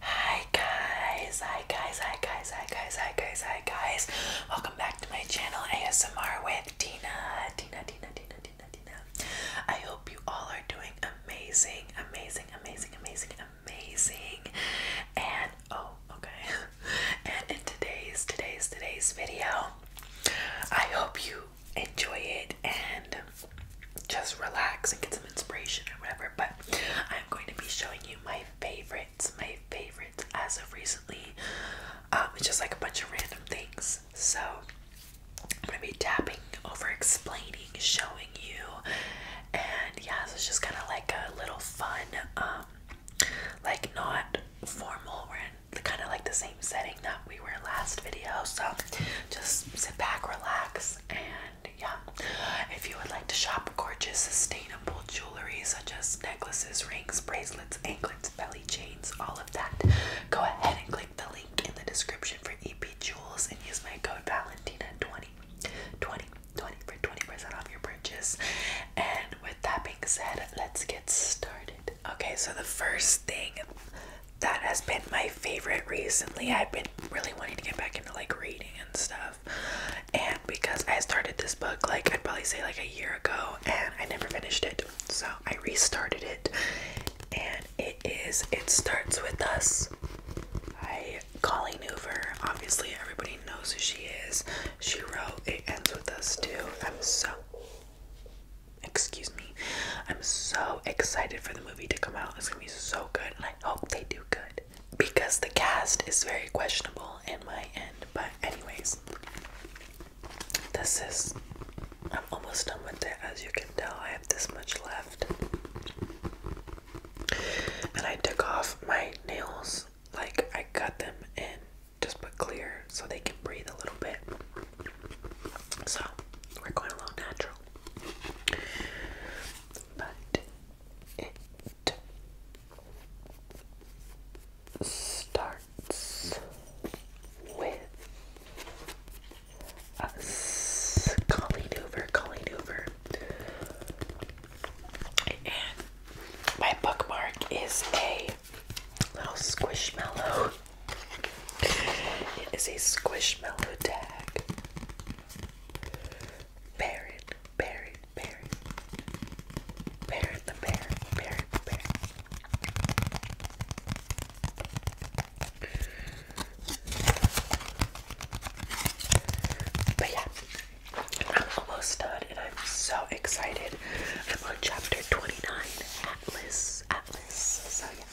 Hi guys, hi guys, hi guys, hi guys, hi guys, hi guys. Welcome back to my channel ASMR with Tina. Tina, Tina, Tina, Tina, Tina. I hope you all are doing amazing, amazing, amazing, amazing, amazing. And oh, okay. And in today's, today's, today's video, I hope you enjoy it and just relax and get some inspiration or whatever. But I'm going to be showing you my favorites, my favorites as of recently. Um, it's just like a bunch of random things. So I'm gonna be tapping over explaining, showing you, and yeah, so it's just kind of like a little fun, um, like not formal. We're in kind of like the same setting that we were last video. So just sit back, relax, and yeah. If you would like to shop gorgeous, sustainable jewelry such as necklaces, rings, bracelets, anklets, belly chains, all of that, go ahead and click the link in the description for EP Jewels and use my code Valentina20 for 20% off your purchase. And with that being said, let's get started. Okay, so the first thing that has been my favorite recently. I've been really wanting to get back into like reading and stuff. And because I started this book like I'd probably say like a year ago and I never finished it. So I restarted it and it is It Starts With Us I Colleen Hoover. Obviously everybody knows who she is. She wrote It Ends With Us too. I'm so excuse me i'm so excited for the movie to come out it's gonna be so good i hope they do good because the cast is very questionable in my end. But, anyways, this is. I'm almost done with it. As you can tell, I have this much left. And I took off my nails, like, I cut them and just put clear so they can breathe a little bit. So, we're going a little natural. But it starts with us calling over, calling over. And my bookmark is a little squishmallow. It is a squishmallow tag. Baron, Baron, Baron. Baron the bear, Baron the bear. But yeah, I'm almost done and I'm so excited. I'm on chapter 29, Atlas, Atlas. So yeah.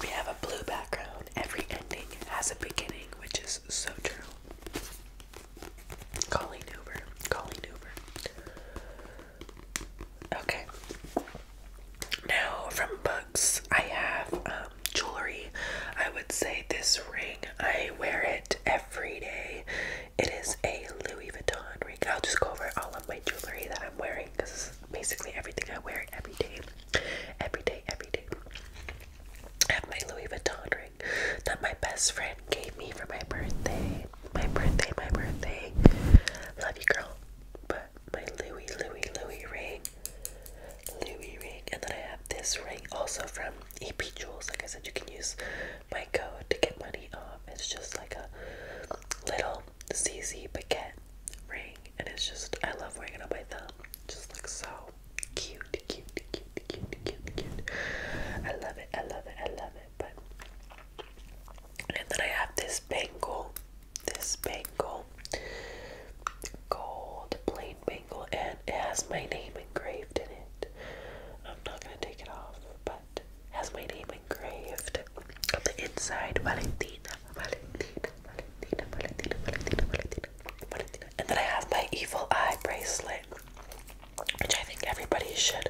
We have a blue background. Every ending has a beginning, which is so true. Calling Uber. Calling Uber. Okay. Now, from books, I have um, jewelry. I would say this ring, I wear it every day. It is a Louis Vuitton week. I'll just go over all of my jewelry that I'm wearing because this is basically everything I wear every day. Every day, every day. I have my Louis Vuitton ring that my best friend gave me for my birthday. My birthday, my birthday. Love you, girl. But my Louis, Louis, Louis ring. Louis ring. And then I have this ring also from EP Jewels. Like I said, you can use my code to get money off. It's just like a little CC baguette ring, and it's just I love wearing it on my thumb. It just looks so cute, cute, cute, cute, cute, cute. I love it. I love it. I love it. But and then I have this bangle, this bangle, gold plain bangle, and it has my name engraved in it. I'm not gonna take it off, but has my name engraved on the inside. Valentina, Valentina, Valentina, Valentina, Valentina, Valentina, Valentina. And then I have my evil eye bracelet, which I think everybody should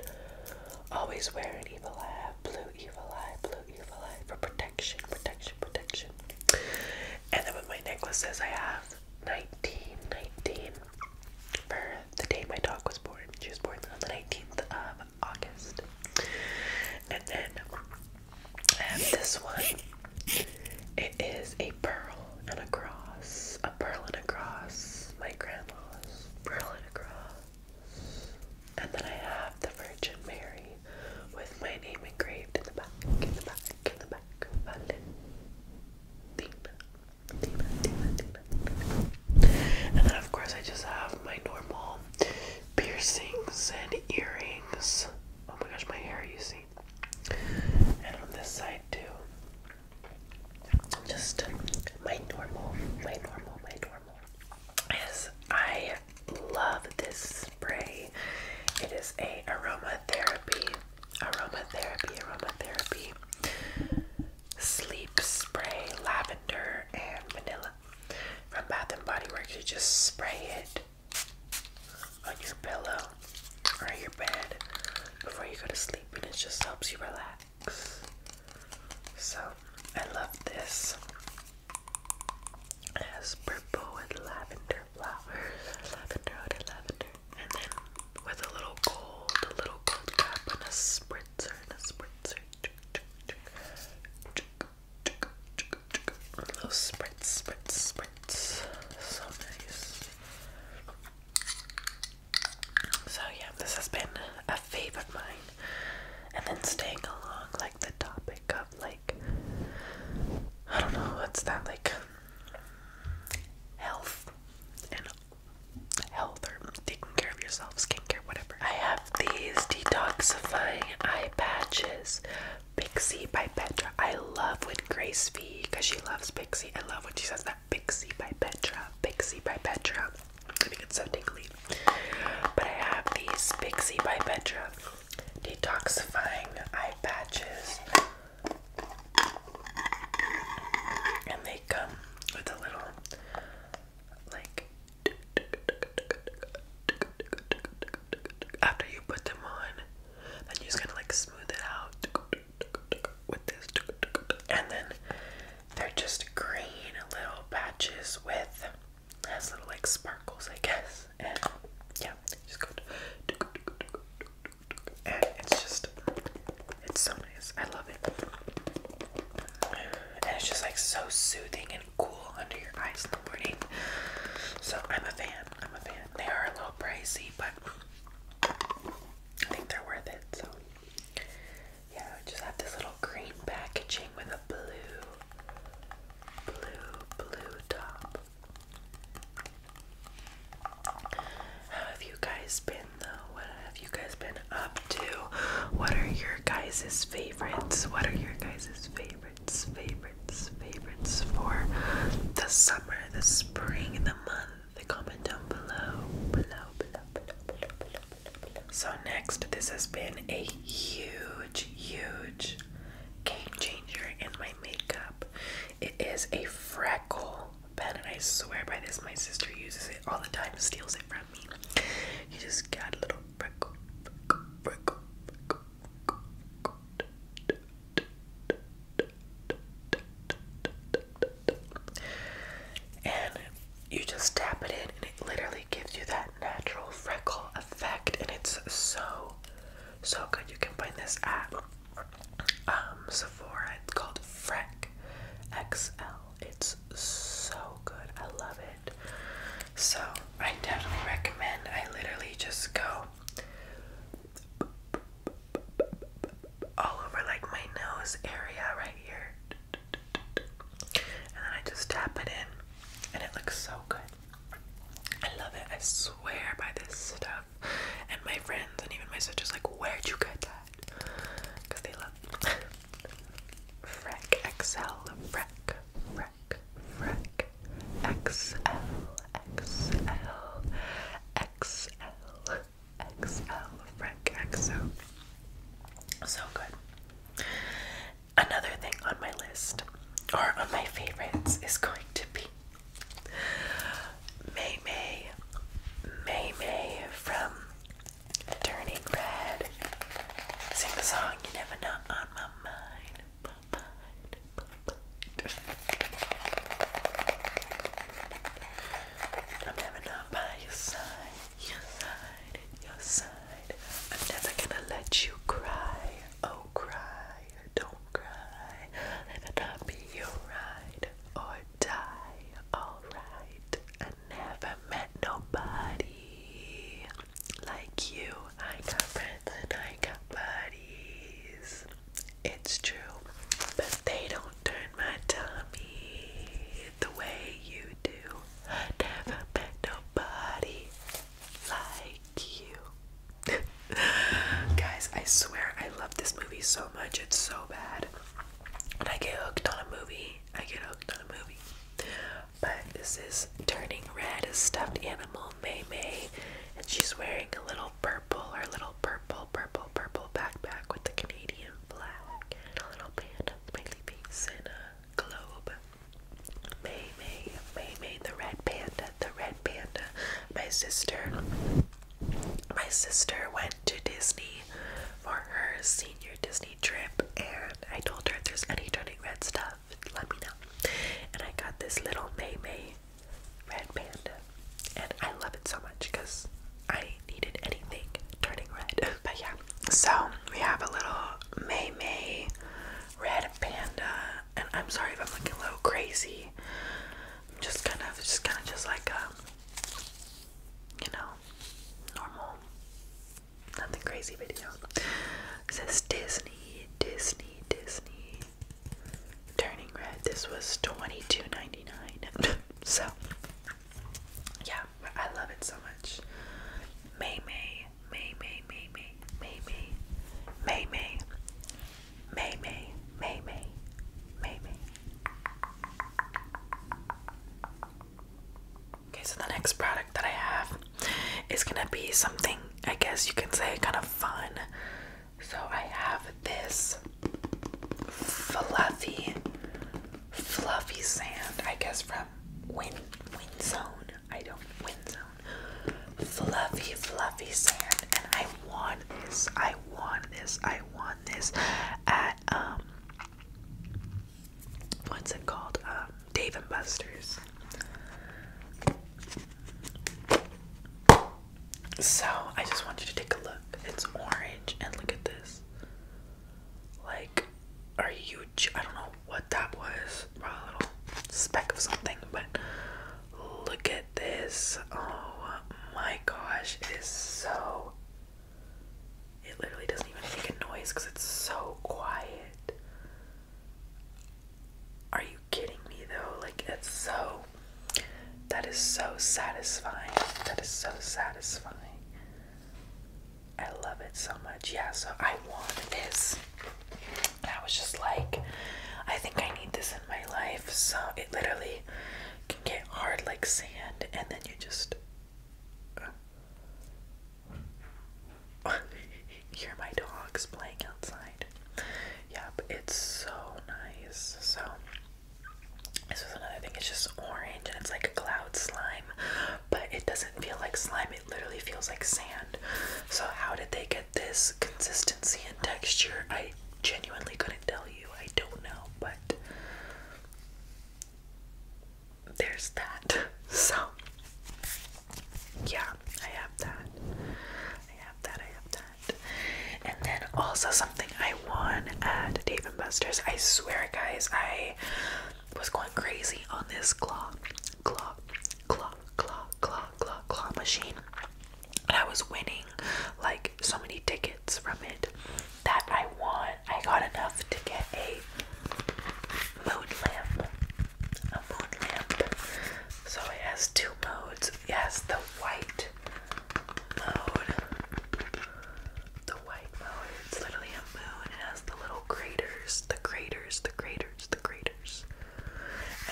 always wear an evil eye, blue evil eye, blue evil eye for protection, protection, protection. And then with my necklaces, I have 19, 19, for the day my dog was born. She was born on the 19th of August. And then I um, have this one. It is a pearl and a cross. A pearl and a cross. My grandma's pearl and a cross. And then I have the Virgin Mary with my name engraved in the back, in the back, in the back. Valentina, and then, of course, I just have my normal piercings and earrings. Oh my gosh, my hair, you see. And on this side, too. Just my normal, my normal, my normal. Yes, I love this spray. It is a aromatherapy, aromatherapy, aromatherapy Sleep Spray Lavender and Vanilla from Bath and Body Works. You just spray it on your pillow or your bed before you go to sleep, and it just helps you relax. So, I love this. It has purple and lavender flowers, lavender, lavender, and then with a little gold, a little gold cap, and a spray. So So yeah, this has been a favorite of mine. And then staying along like the topic of like I don't know, what's that like health and health or taking care of yourself, skincare, whatever. I have these detoxifying eye patches. Pixie by Petra. I love when Grace V because she loves Pixie. I love when she says that. Pixie by Petra. Pixie by Petra. I think it's so tingly. But I have these Pixie by Petra detoxifying eye patches. And they come with a little like after you put them on, then you just kind of like smooth it out with this, and then they're just green little patches with has little like sparkles, I guess. And yeah, just go, and it's just it's so I love it. And it's just like so soothing and cool under your eyes in the morning. So I'm a fan. I'm a fan. They are a little pricey, but I think they're worth it. So yeah, just have this little green packaging with a blue, blue, blue top. have you guys been? What have you guys been up to? What are your guys' favorites? What are your guys' favorites, favorites, favorites for the summer, the spring, the month? comment down below, below, below, below, below, below, below. So next, this has been a huge, huge game changer in my makeup. It is a freckle bed, and I swear by this, my sister uses it all the time, steals it from me. You just got a little prickle, And you just tap it in, and it literally gives you that natural freckle effect, and it's so, so good. You can find this at um, Sephora. It's called Freck XL. It's so good. I love it. So I definitely recommend. I literally just go all over like my nose area right here. And then I just tap it in and it looks so good. I love it. I swear by this stuff. And my friends and even my sister's like, where'd you get that? that Freck XL, Freck, Freck, Freck, XL, XL, XL, XL, Freck XO. So good. Another thing on my list, or on my favorites, is going to be May May, May May from turning red. Sing a song, you never know, on my mind. I'm never not by your side, I'm never gonna let you cry, oh cry, don't cry. Let it not be your ride or die, alright. I never met nobody like you. I got friends and I got buddies. It's true. But they don't turn my tummy the way you do. never met nobody like you. Guys, I swear I love this movie so much. It's so bad and I get hooked on a movie, I get hooked on a movie. But this is Turning Red, a stuffed animal, May May, and she's wearing a little purple, her little purple, purple, purple backpack with the Canadian flag, and a little panda smiley face, in a globe. May May, May May, the red panda, the red panda. My sister my sister went to Disney for her senior Disney trip, and I told her if there's any turning red stuff, let me know. And I got this little May May red panda, and I love it so much because I needed anything turning red. But yeah, so we have a little May May red panda, and I'm sorry if I'm looking a little crazy. I'm just kind of, just kind of, just like um, you know, normal, nothing crazy video. says Disney, Disney, Disney. Turning red. This was twenty two ninety nine. so yeah, I love it so much. May May May May May May May May May May May May Okay, so the next product that I have is gonna be something I guess you can say kind of fun. So I have this fluffy, fluffy sand, I guess from Win Windzone. I don't Winzone. Fluffy, fluffy sand, and I want this. I want this. I want this um what's it called? Um, Dave and Buster's. So I just want you to take a look. It's orange and look at this. Like a huge. I don't know what that was. Probably a little speck of something, but look at this. Oh my gosh, it is so it literally doesn't even make a noise because it's so quiet. Are you kidding me though? Like, it's so. That is so satisfying. That is so satisfying. I love it so much. Yeah, so I want this. I was just like, I think I need this in my life. So it literally can get hard like sand, and then you just. Hear my dogs playing outside. Yep, it's so nice. So, this was another thing. It's just orange and it's like a cloud slime, but it doesn't feel like slime. It literally feels like sand. So, how did they get this consistency and texture? I genuinely couldn't tell you. I don't know, but there's that. So, yeah, I have that. I have that. I have that. And then also something I won at Dave and Buster's. I swear, guys, I was going crazy on this claw, claw, claw, claw, claw, claw, claw machine. And I was winning like so many tickets from it that I want. I got enough to get a mood lamp. A mood lamp. So it has two modes. It has the white mode. The white mode. It's literally a moon. It has the little craters. The craters. The craters. The craters.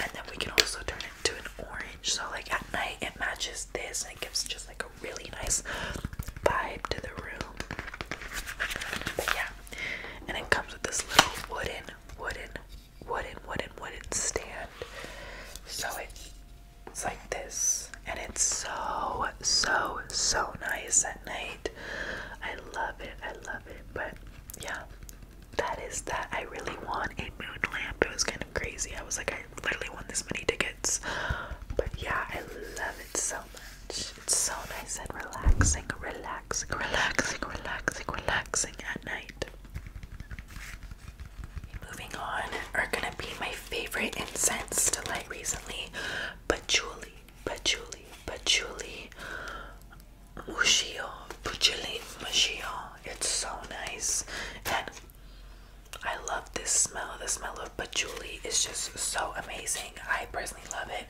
And then we can also turn it to an orange. So like at night it matches this and it gives just like a really nice vibe to the room. But yeah, and it comes with this little wooden, wooden, wooden, wooden, wooden stand. So it, it's like this, and it's so, so, so nice at night. I love it. I love it. But yeah, that is that. I really want a moon lamp. It was kind of crazy. I was like, literally won this many tickets. But yeah, I love it so much. It's so nice and relaxing, relaxing, relaxing, relaxing, relaxing at night. Moving on are gonna be my favorite incense to light recently. Patchouli, patchouli, patchouli, mushio, patchouli, mushio. It's so nice and I love this smell. The smell of patchouli is just so amazing. I personally love it.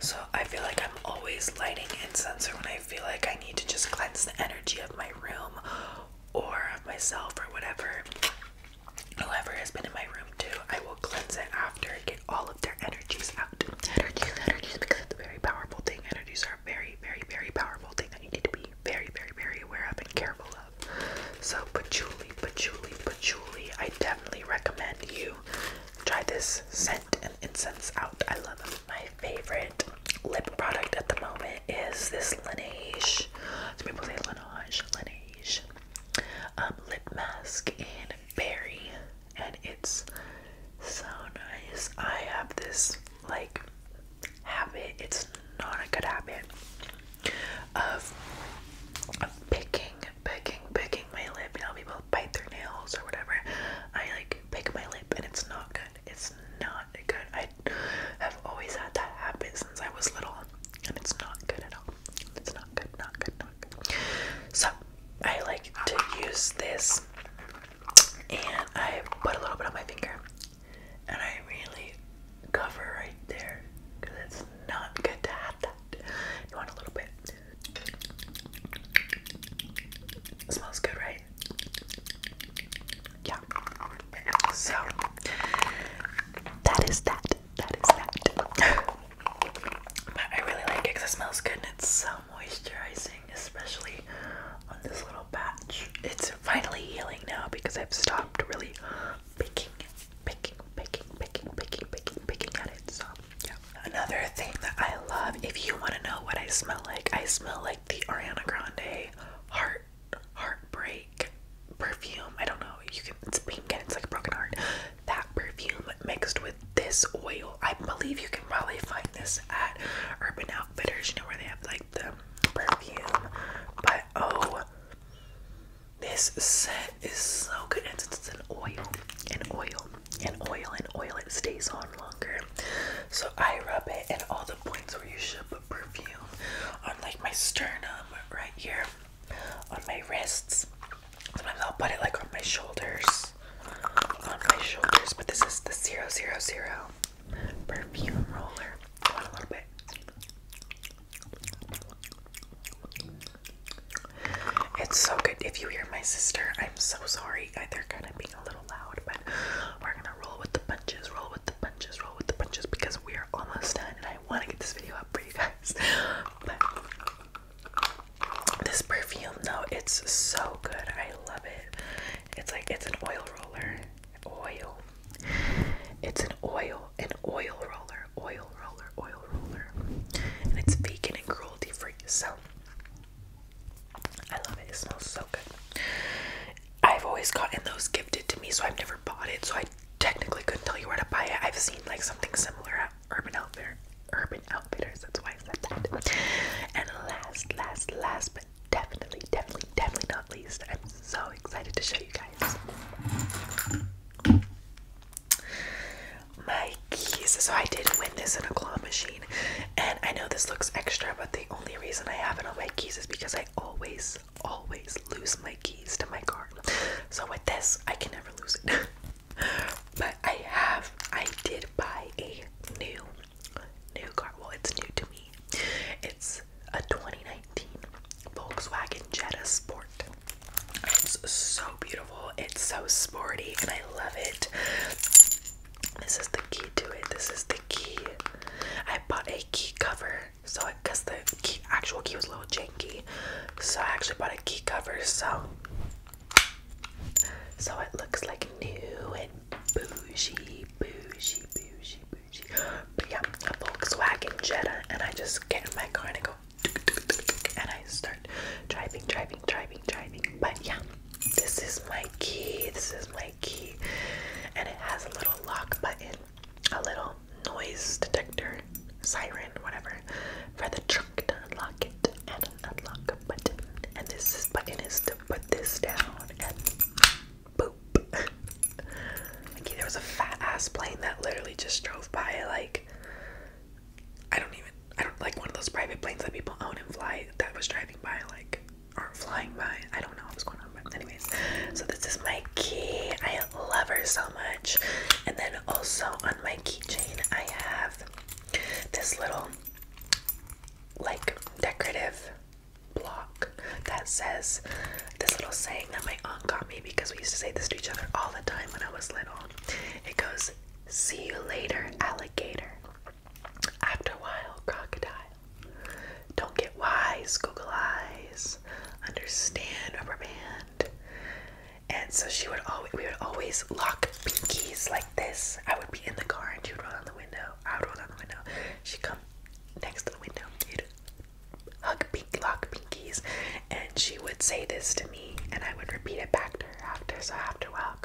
So I feel like I'm always lighting incense when I feel like I need to just cleanse the energy of my room or of myself or whatever. Whoever has been in my room too, I will cleanse it after, get all of their energies out. Energies, energies, because it's a very powerful thing. Energies are a very, very, very powerful thing that you need to be very, very, very aware of and careful of. So patchouli, patchouli, patchouli. I definitely recommend you try this scent and incense out. I love them. My favorite lip product at the moment is this Laneige. Some people say Laneige, Laneige um, lip mask in berry, and it's so nice. I have this like habit, it's not a good habit of, picking, picking, picking my lip. You know, people bite their nails or whatever. I like pick my lip and it's not good. It's not good. I have always had that habit since I was little and it's not good at all. It's not good, not good, not good. So I like to use this and I put a little bit on my finger and I really cover right there because it's not good to have that. You want a little bit. It smells good, right? Yeah. So that is that. That is that. I really like it because it smells good and it's so moisturizing, especially on this little patch. It's finally healing now because I've stopped really picking, picking, picking, picking, picking, picking, picking at it. So yeah. Another thing that I love, if you want to know what I smell like, I smell like the Ariana Grande heart heartbreak perfume. I don't know. You can it's pink and it's like a broken heart. That perfume mixed with this oil. I believe you can probably find this at Urban Outfitters, you know where they have like the perfume. But oh this set is so good. And since it's an oil, and oil, and oil, and oil, it stays on longer. So I rub it at all the points where you should put perfume on, like my sternum right here, on my wrists. Sometimes I'll put it like on my shoulders, on my shoulders. But this is the zero zero zero perfume roller. Come a little bit. It's so good. If you hear my sister, I'm so sorry. They're kind of being a little loud, but we're gonna roll with the punches, roll with the punches, roll with the punches because we are almost done and I want to get this video up for you guys. But this perfume, though, it's so good. I love it. It's like it's an oil roller oil. It's an oil, an oil roller, oil roller, oil roller. And it's vegan and cruelty free. So I love it. It smells so good. I've always gotten those gifted to me, so I've never bought it. So I technically couldn't tell you where to buy it. I've seen like something similar at Urban Outfitter, Urban Outfitters. That's why I said that. And last, last, last, but definitely, definitely, definitely not least, I'm so excited to show you guys. My keys. So I did win this in a claw machine. And I know this looks extra, but the only reason I have it on my keys is because I always, always lose my keys to my car. So with this, I can never lose it. but I have, I did buy a new, new car. Well, it's new to me, me. It's a 2019 Volkswagen Jetta Sport. It's so beautiful, it's so sporty, and I love it. This is the key to it. This is the key. I bought a key cover, so because the key, actual key was a little janky, so I actually bought a key cover. So, so it looks like new and bougie, bougie, bougie, bougie yeah, a Volkswagen Jetta, and I just get in my car and I go, and I start driving, driving, driving, driving. But yeah, this is my key. This is my key, and it has a little lock button, a little noise detector, siren, whatever, for the trunk to unlock it, and an unlock button. And this button is to put this down boop. there was a fat ass plane that literally just drove by. Like I don't even I don't like one of those private planes that people own and fly that was driving by like or flying by. I don't know what was going on, but anyways. So this is my key. I love her so much. And then also on my keychain I have this little like decorative block that says this little saying that my aunt got me because we used to say this to each other all the time when I was little. It goes, See you later, alligator. After a while, crocodile. Don't get wise, Google Eyes. Understand, rubberband. And so she would always, we would always lock pinkies like this. I would be in the car and she would roll down the window. I would roll down the window. She'd come next to the window hug pink lock pinkies and she would say this to me and I would repeat it back to her after so after a while,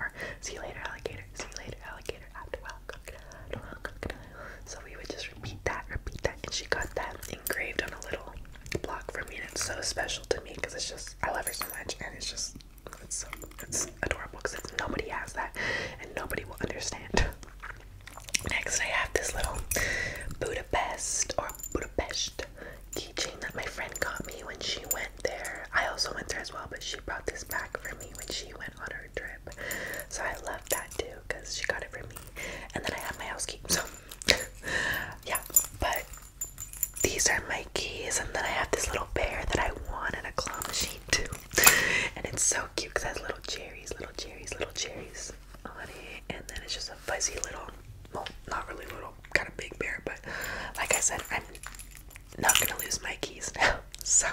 or see you later alligator see you later alligator after well crocodile, well crocodile so we would just repeat that repeat that and she got that engraved on a little block for me and it's so special to me because it's just I love her so much and it's just it's it's adorable because nobody has that and nobody will understand Next, I have this little Budapest or Budapest keychain that my friend got me when she went there. I also went there as well, but she brought this back for me when she went on her trip. So I love that too because she got it for me. And then I have my house key. So yeah, but these are my keys. And then I have this little bear that I won in a claw machine too. and it's so cute because it has little cherries, little cherries, little cherries on it, and then it's just a fuzzy little, well, not really little, kind of big bear, but like I said, I'm not gonna lose my keys now, so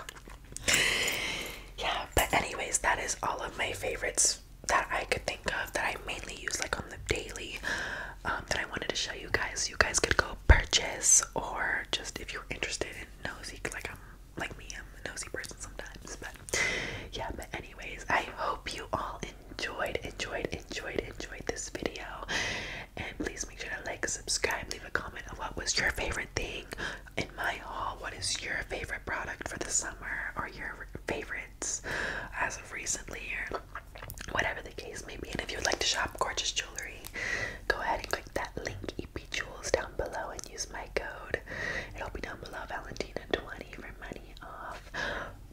yeah, but anyways, that is all of my favorites that I could think of that I mainly use like on the daily um, that I wanted to show you guys. You guys could go purchase or just if you're interested in nosy, like I'm like me, I'm a nosy person sometimes. But yeah, but anyways, I hope you all enjoyed, enjoyed, enjoyed, enjoyed this video. And please make sure to like, subscribe, leave a comment of what was your favorite thing in my haul. What is your favorite product for the summer or your favorites as of recently or whatever the case may be. And if you would like to shop gorgeous jewelry, go ahead and click that link EP Jewels down below and use my code. It'll be down below, Valentina20 for money off.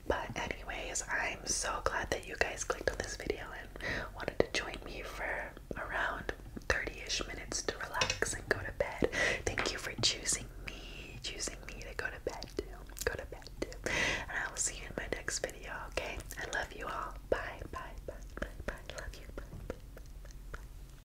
But anyways, I'm so glad that you guys clicked on this video and wanted to join me for around 30-ish minutes to relax and go to bed. Thank you for choosing me, choosing me to go to bed Go to bed And I will see you in my next video, okay? I love you all. Bye, bye, bye, bye, bye. Love you. bye.